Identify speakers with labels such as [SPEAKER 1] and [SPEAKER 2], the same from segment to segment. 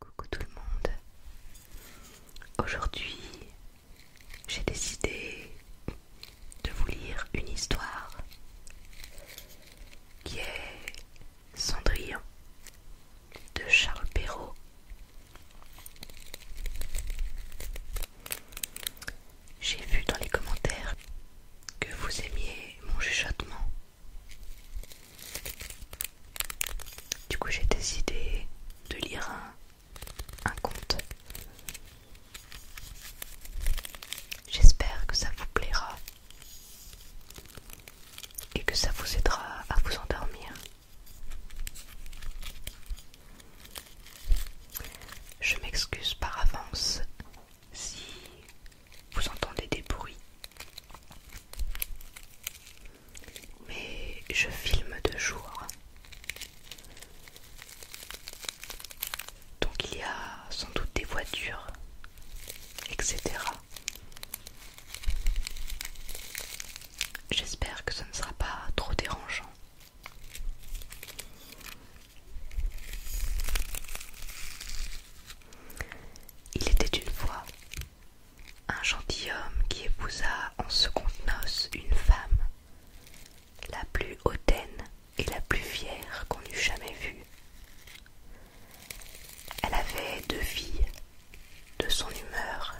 [SPEAKER 1] Coucou tout le monde. Aujourd'hui, j'ai décidé de vous lire une histoire qui est Cendrillon de Charles Perrault. J'ai vu dans les commentaires que vous aimiez mon chuchotement du coup, j'ai décidé de lire un, conte. J'espère que ça vous plaira et que ça vous aidera à vous endormir. Je m'excuse par avance si vous entendez des bruits. Mais je filme de jour. Donc il y a sans doute des voitures, etc. J'espère que ce ne sera pas trop dérangeant. Il était une fois un gentilhomme qui épousa en secondes noces une femme, la plus hautaine et la plus fière qu'on eût jamais vue. Elle avait deux filles de son humeur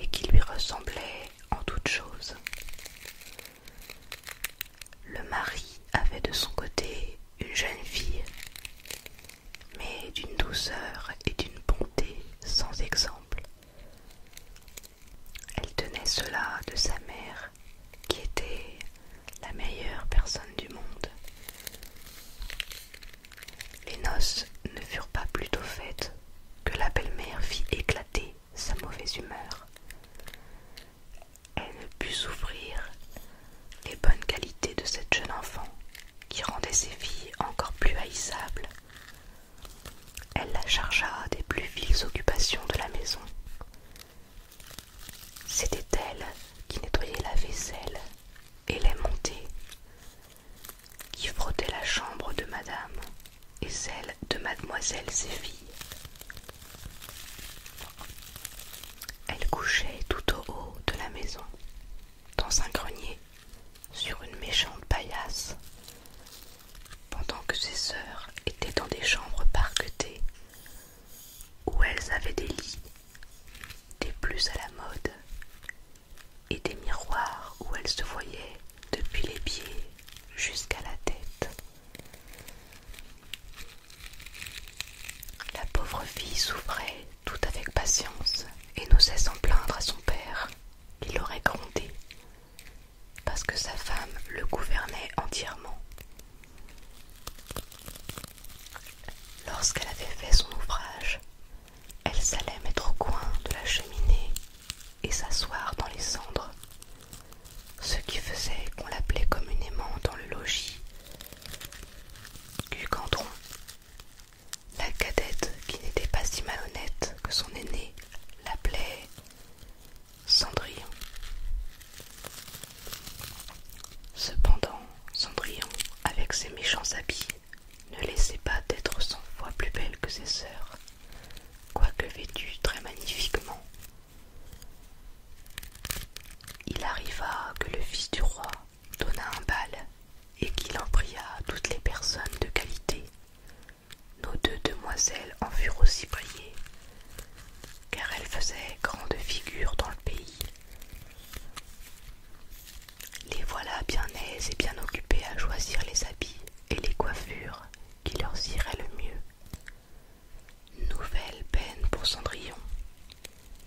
[SPEAKER 1] et qui lui ressemblaient en toutes choses. Le mari avait de son côté une jeune fille mais d'une douceur et d'une bonté sans exemple. Elle tenait cela de sa mère, qui était la meilleure personne du monde. Les noces ne furent pas plutôt faites que la belle-mère fit éclater sa mauvaise humeur elle ne put souffrir les bonnes qualités de cette jeune enfant qui rendait ses filles encore plus haïssables. Elle la chargea des plus viles occupations de la maison. C'était elle qui nettoyait la vaisselle et les montait, qui frottait la chambre de madame et celle de mademoiselle filles. Elle couchait tout au haut de la maison, dans un grenier, sur une méchante paillasse, pendant que ses sœurs étaient dans des chambres parquetées, où elles avaient des lits, des plus à la mode, et des miroirs où elles se voyaient depuis les pieds jusqu'à la tête. La pauvre fille souffrait tout avec patience et n'osait s'en plaindre à son père, qui l'aurait grondé, parce que sa femme le gouvernait entièrement. Lorsqu'elle avait fait son ouvrage, elle s'allait mettre au coin de la cheminée et s'asseoir dans les cendres, ce qui faisait qu'on l'appelait communément dans le logis la cadette qui n'était pas si malhonnête que son aîné l'appelait Cendrillon. Cependant, Cendrillon, avec ses méchants habits, ne laissait pas d'être cent fois plus belle que ses sœurs, quoique vêtue très magnifiquement il arriva que le fils du roi donna un bal et qu'il en pria toutes les personnes de qualité. Nos deux demoiselles en furent aussi priées, car elles faisaient grande figure dans le pays. Les voilà bien aises et bien occupées à choisir les habits et les coiffures qui leur iraient le mieux. Nouvelle peine pour Cendrillon,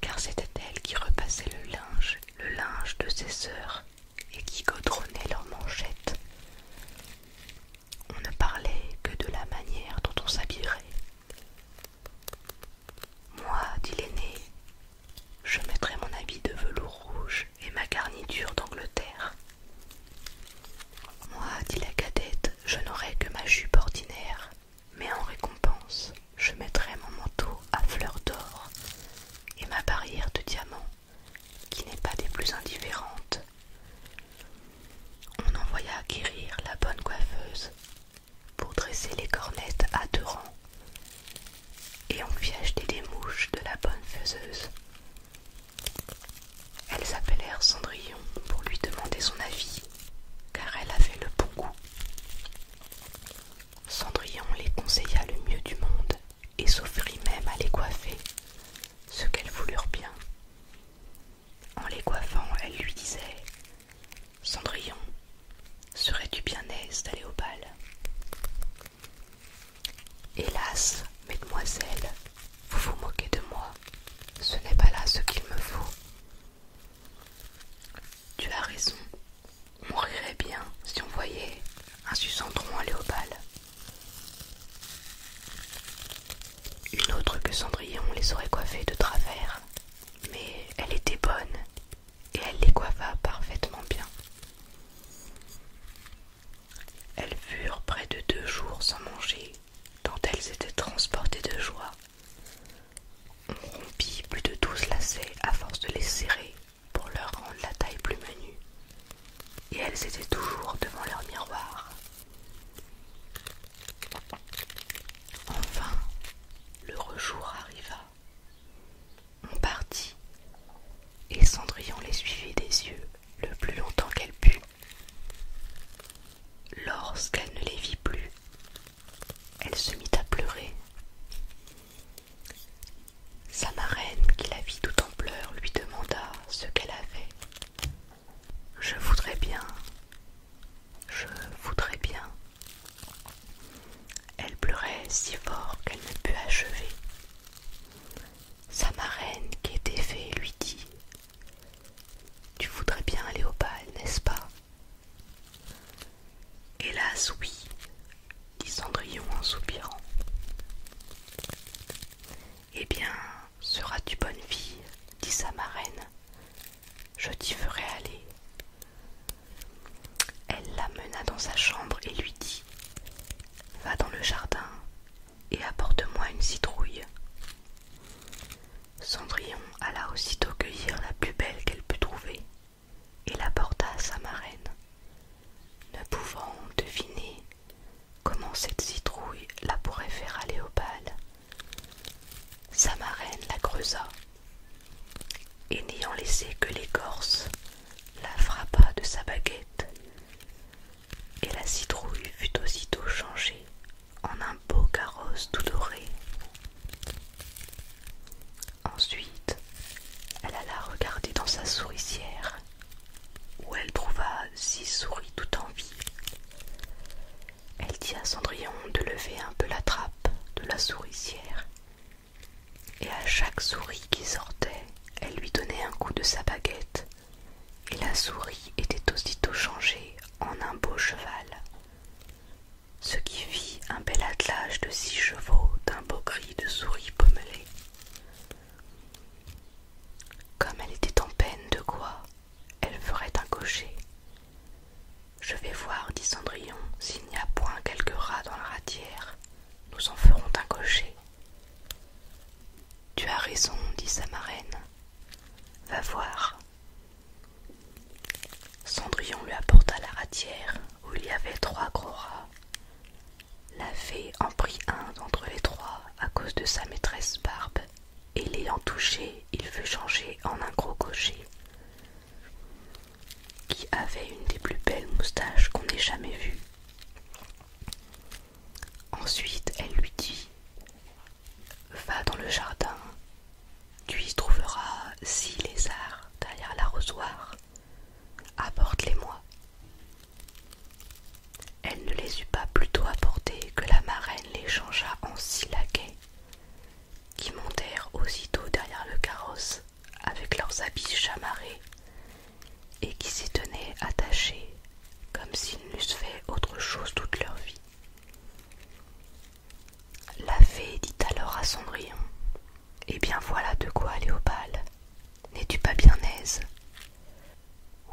[SPEAKER 1] car c'était elle qui repassait le linge, le linge de ses sœurs, et qui godronnait leurs manchettes. On ne parlait que de la manière dont on s'habillerait. Moi, dit l'aînée, je mettrai mon habit de velours rouge et ma garniture d'Angleterre. Moi, dit la cadette, je n'aurai que ma jupe ordinaire, mais en récompense, je mettrai mon manteau à fleurs d'or et ma barrière de diamants, qui n'est pas des plus indifférentes. On envoya acquérir la bonne coiffeuse pour dresser les cornettes à deux rangs, et on fit acheter des mouches de la bonne faiseuse. Elles appelèrent Cendrillon pour lui demander son avis, car elle avait le bon goût. Cendrillon les conseilla le mieux du monde et s'offrit même à les coiffer, ce qu'elles voulurent bien. En les coiffant, elle lui disait Cendrillon, serais-tu bien aise d'aller au bal Hélas, mesdemoiselles, vous vous moquez de moi. Ce n'est pas là ce qu'il me faut. Tu as raison. On bien si on voyait un aller au bal. Une autre que Cendrillon les aurait coiffées de travers, mais elle était bonne et elle les coiffa parfaitement bien. Elles furent près de deux jours sans manger dont elles étaient transportées de joie. On rompit plus de douze lacets à force de les serrer pour leur rendre la taille plus menue, et elles étaient toujours devant leur miroir. Enfin, le rejour arriva. On partit, et Cendrillon les suivit des yeux le plus longtemps qu'elle put. Lorsqu'elle ne les vit plus, elle se mit à pleurer. Sa marraine, qui la vit tout en pleurs, lui demanda ce qu'elle avait. Je voudrais bien, je voudrais bien. Elle pleurait si fort qu'elle ne put achever. Sa marraine, qui était fée, lui dit tu voudrais bien aller au bal, n'est-ce pas Hélas, oui, dit Cendrillon en soupirant. Eh bien, seras-tu bonne fille dit sa marraine. Je t'y ferai aller. Elle l'amena dans sa chambre et lui dit Va dans le jardin et apporte-moi une citrouille. Cendrillon alla aussitôt cueillir la plus belle qu'elle put trouver et l'apporta à sa marraine, ne pouvant deviner comment cette citrouille la pourrait faire aller au bal. Sa marraine la creusa et n'ayant laissé que l'écorce, la frappa de sa baguette et la citrouille fut aussitôt changée en un beau carrosse tout doré. Ensuite, elle alla regarder dans sa souricière, où elle trouva six souris tout en vie. Elle dit à Cendrillon de lever un peu la trappe de la souricière, et à chaque souris qui sortait, elle lui donnait un coup de sa baguette et la souris était aussitôt changée en un beau cheval, ce qui fit un bel attelage de six chevaux d'un beau gris de souris pommelée. Comme elle était en peine de quoi, elle ferait un cocher. Je vais voir, dit Cendrillon, s'il n'y a point quelque rat dans la ratière. Nous en ferons un cocher. Tu as raison, dit sa marraine. Va voir. Cendrillon lui apporta la ratière où il y avait trois gros rats. La fée en prit un d'entre les trois à cause de sa maîtresse Barbe, et l'ayant touché, il fut changé en un gros cocher qui avait une des plus belles moustaches qu'on ait jamais vues. Ensuite, elle lui dit Va dans le jardin, tu y trouveras six lézards derrière l'arrosoir, apporte-les-moi. Elle ne les eut pas plutôt apportés que la marraine les changea en six laquais, qui montèrent aussitôt derrière le carrosse avec leurs habits chamarrés et qui s'y tenaient attachés comme s'ils n'eussent fait autre chose toute leur vie. La fée dit alors à Cendrillon Eh bien voilà de quoi aller au bal. N'es-tu pas bien aise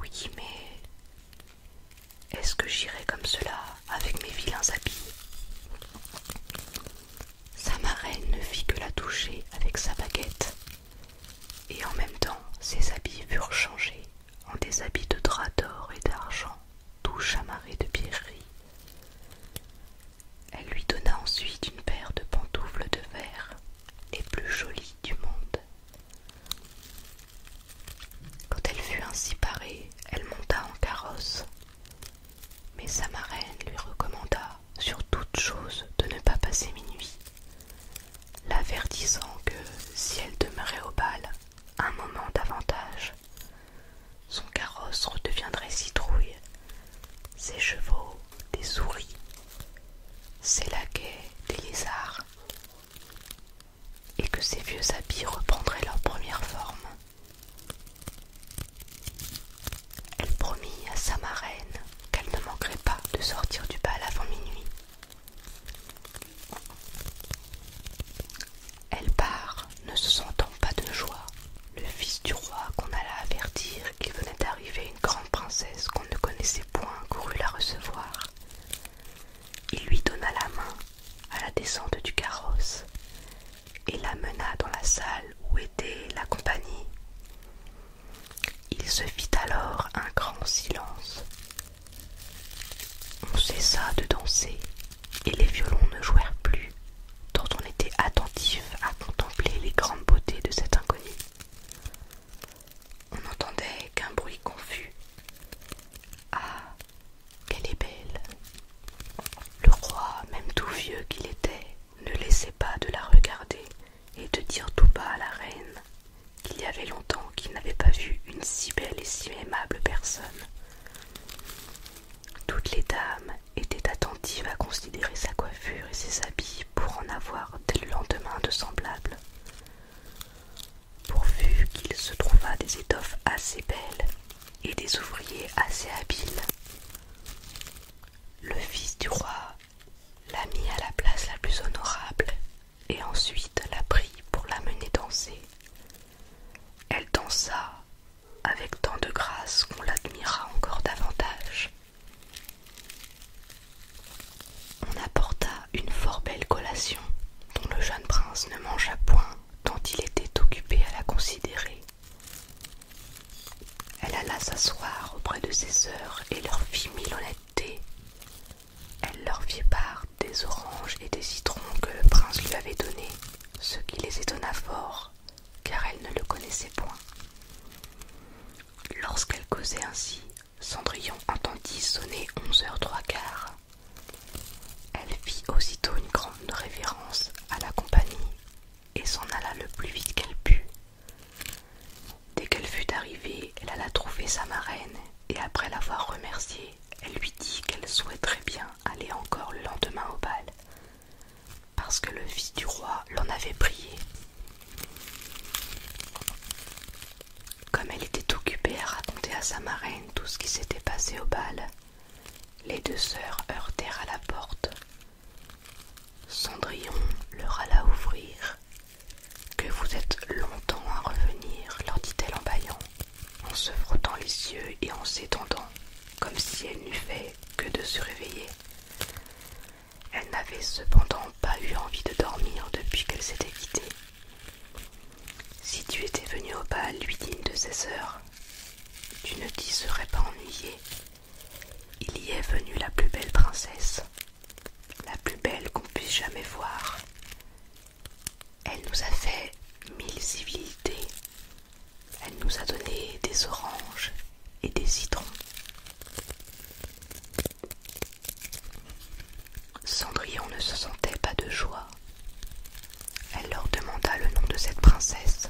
[SPEAKER 1] Oui, mais est-ce que j'irai comme cela avec mes vilains habits Sa marraine ne fit que la toucher avec sa baguette. Et en même temps, ses habits furent changés en des habits de drap d'or et d'argent, tout chamarrés de pierreries. Elle lui donna ensuite une paire de pantoufles de verre, les plus jolies du monde. Quand elle fut ainsi parée, elle monta en carrosse. Mais sa marraine lui recommanda sur toute chose de ne pas passer minuit, l'avertissant que si elle demeurait au bal un moment davantage, son carrosse redeviendrait citrouille, ses chevaux des souris, ses laquais des lézards, et que ses vieux habits reprendraient leur première forme. Elle promit à sa marraine qu'elle ne manquerait pas de sortir du bal avant minuit. Elle part, ne se sentant pas de joie. Le fils du roi qu'on alla avertir qu'il venait d'arriver une grande princesse qu'on ne connaissait point courut la recevoir. Il lui donna la main à la descente du carrosse et la mena dans la salle où était la compagnie. Il se fit alors un grand silence. On cessa de danser et les violons ne jouèrent plus, tant on était attentif à contempler les grandes beautés de cette inconnue On n'entendait qu'un bruit confus. Ah, qu'elle est belle! Le roi, même tout vieux qu'il était, ne laissait pas de la regarder et de dire tout bas à la reine qu'il y avait longtemps qu'il n'avait pas vu une si belle et si aimable personne. Toutes les dames étaient attentives à considérer sa coiffure et ses habits pour en avoir dès le lendemain de semblables. Pourvu qu'il se trouva des étoffes assez belles et des ouvriers assez habiles. Le fils du roi l'a mit à la place la plus honorable et ensuite la prit pour l'amener danser. Elle dansa avec tant de grâce qu'on l'admira encore davantage. On apporta une fort belle collation dont le jeune prince ne mangea point tant il était occupé à la considérer. Elle alla s'asseoir auprès de ses sœurs et leur fit mille honnêtetés. Elle leur fit part des oranges et des citrons que le prince lui avait donnés, ce qui les étonna fort, car elle ne le connaissait point. Lorsqu'elle causait ainsi, Cendrillon entendit sonner onze heures trois quarts. Elle fit aussitôt une grande révérence à la compagnie et s'en alla le plus vite qu'elle put. Dès qu'elle fut arrivée, elle alla trouver sa marraine, et après l'avoir remerciée, elle lui dit qu'elle souhaiterait bien aller encore le lendemain au bal, parce que le fils du roi l'en avait prié. Comme elle était occupée à raconter à sa marraine tout ce qui s'était passé au bal, les deux sœurs heurtèrent à la porte Cendrillon leur alla ouvrir. Que vous êtes longtemps à revenir, leur dit-elle en baillant en se frottant les yeux et en s'étendant, comme si elle n'eût fait que de se réveiller. Elle n'avait cependant pas eu envie de dormir depuis qu'elle s'était quittée. Si tu étais venu au bal, lui dit une de ses sœurs, tu ne t'y serais pas ennuyée il y est venue la plus belle princesse, la plus belle qu'on puisse jamais voir. Elle nous a fait mille civilités. Elle nous a donné des oranges et des citrons. Cendrillon ne se sentait pas de joie. Elle leur demanda le nom de cette princesse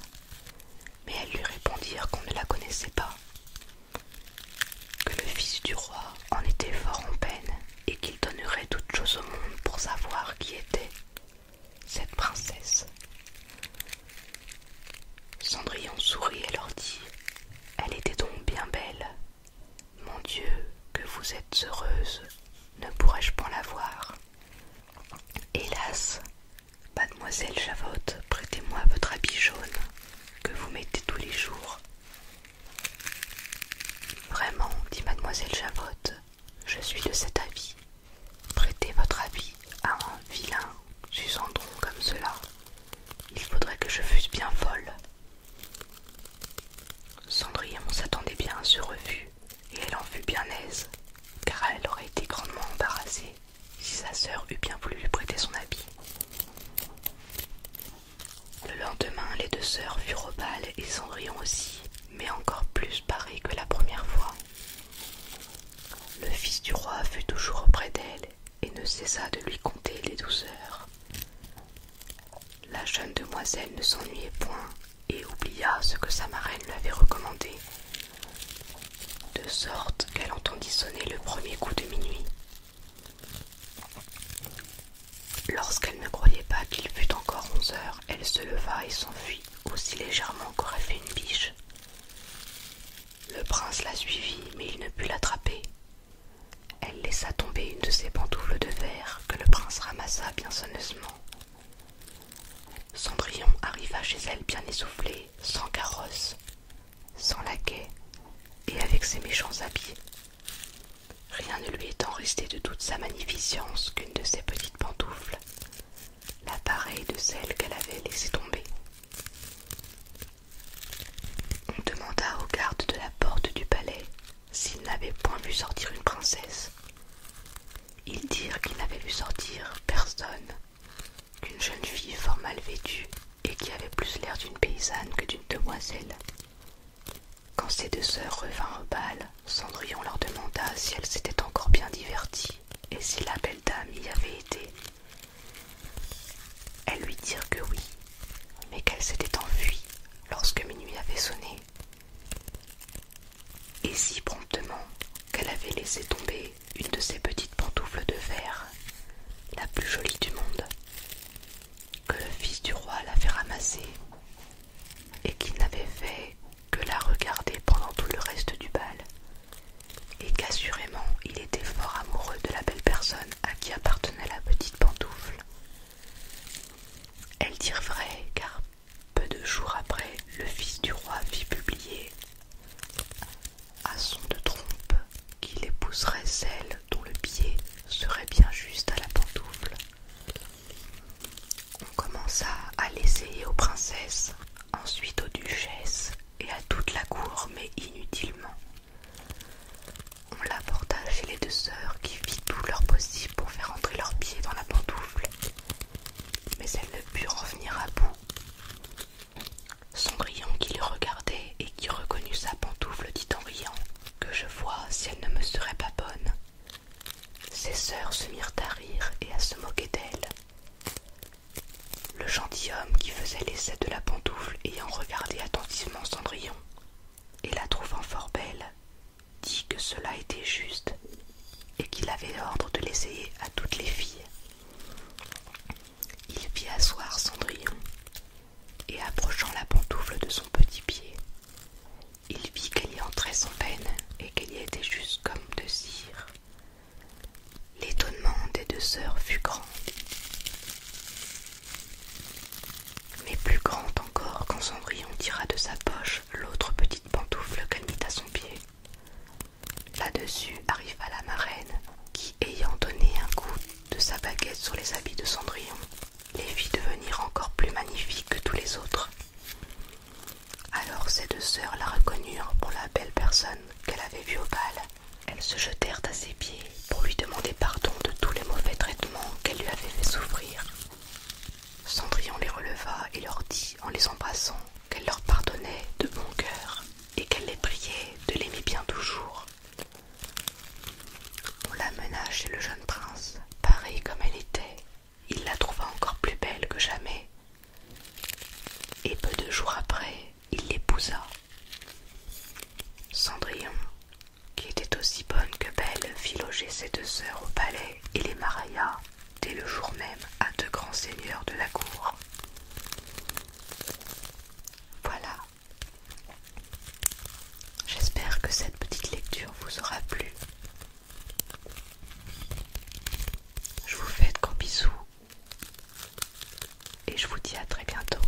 [SPEAKER 1] mais elles lui répondirent qu'on ne la connaissait pas, que le fils du roi en était fort en peine et qu'il donnerait toute chose au monde pour savoir qui était cette princesse. Cendrillon sourit et leur dit Elle était donc bien belle. Mon Dieu, que vous êtes heureuse, ne pourrais-je pas la voir Hélas, Mademoiselle Javotte, prêtez-moi votre habit jaune que vous mettez tous les jours. Vraiment, dit mademoiselle Javotte, je suis de cet avis. Prêtez votre habit à un vilain susandron comme cela. Il faudrait que je fusse bien folle. Cendrillon s'attendait bien à ce refus, et elle en fut bien aise, car elle aurait été grandement embarrassée si sa sœur eût bien voulu lui prêter son habit. Le lendemain, les deux sœurs furent au bal et Cendrillon aussi, mais encore plus parée que la première fois. Le fils du roi fut toujours auprès d'elle et ne cessa de lui conter les douze heures La jeune demoiselle ne s'ennuyait point et oublia ce que sa marraine lui avait recommandé de sorte qu'elle entendit sonner le premier coup de minuit. Lorsqu'elle ne croyait pas qu'il fût encore onze heures, elle se leva et s'enfuit aussi légèrement qu'aurait fait une biche. Le prince la suivit, mais il ne put l'attraper. Elle laissa tomber une de ses pantoufles de verre que le prince ramassa bien sonneusement Cendrillon arriva chez elle bien essoufflée, sans carrosse, sans laquais et avec ses méchants habits. Rien ne lui étant resté de toute sa magnificence qu'une de ses petites pantoufles, l'appareil de celle qu'elle avait laissée tomber. On demanda au garde de la porte du palais s'il n'avait point vu sortir une princesse. Ils dirent qu'ils n'avaient vu sortir personne qu'une jeune fille fort mal vêtue et qui avait plus l'air d'une paysanne que d'une demoiselle. Quand ces deux sœurs revinrent au bal, Cendrillon leur demanda si elles s'étaient encore bien diverties et si la belle dame y avait été. Elles lui dirent que oui, mais qu'elles s'étaient enfuies lorsque minuit avait sonné et si promptement qu'elle avait laissé tomber une de ses petites pantoufles de verre, la plus jolie du monde, que le fils du roi l'avait ramassée et qu'il n'avait fait que la regarder pendant tout le reste du bal, et qu'assurément il était fort amoureux de la belle personne à qui appartenait la petite pantoufle. Elle dirent vrai car peu de jours après, le fils du roi fit publier à son de trompe qu'il épouserait celle dont le pied serait bien juste à la pantoufle. On commença à l'essayer aux princesses, ensuite aux duchesses et à toute la cour, mais inutilement. On l'apporta chez les deux sœurs qui fit tout leur possible pour faire entrer leur pied dans la pantoufle, mais elle ne put revenir à bout. Cendrillon qui le regardait et qui reconnut sa pantoufle dit en riant Que je vois si elle ne me serait pas bonne. Ses sœurs se mirent à rire et à se moquer d'elle. Le gentilhomme qui faisait l'essai de la pantoufle ayant regardé attentivement Cendrillon et la trouvant fort belle, dit que cela était juste et qu'il avait ordre de l'essayer à toutes les filles. Il fit asseoir Cendrillon et approchant la pantoufle de son petit pied, il vit qu'elle y entrait sans peine et qu'elle y était juste comme de cire. L'étonnement des deux sœurs fut grand, mais plus grand quand Cendrillon tira de sa poche l'autre petite pantoufle qu'elle mit à son pied. Là-dessus arriva la marraine, qui, ayant donné un coup de sa baguette sur les habits de Cendrillon, les fit devenir encore plus magnifiques que tous les autres. Alors ces deux sœurs la reconnurent pour la belle personne qu'elle avait vue au bal. Elles se jetèrent à ses pieds pour lui demander pardon de tous les mauvais traitements qu'elle lui avait fait souffrir. Cendrillon les releva et leur dit en les embrassant qu'elle leur pardonnait de bon cœur et qu'elle les priait de l'aimer bien toujours. On l'amena chez le jeune prince, Pareil comme elle était. Il la trouva encore plus belle que jamais. Et peu de jours après, il l'épousa. Cendrillon, qui était aussi bonne que belle, fit loger ses deux sœurs au palais et les Maraïas dès le jour même à deux grands seigneurs de la cour. Voilà. J'espère que cette petite lecture vous aura plu. Je vous fais de gros bisous et je vous dis à très bientôt.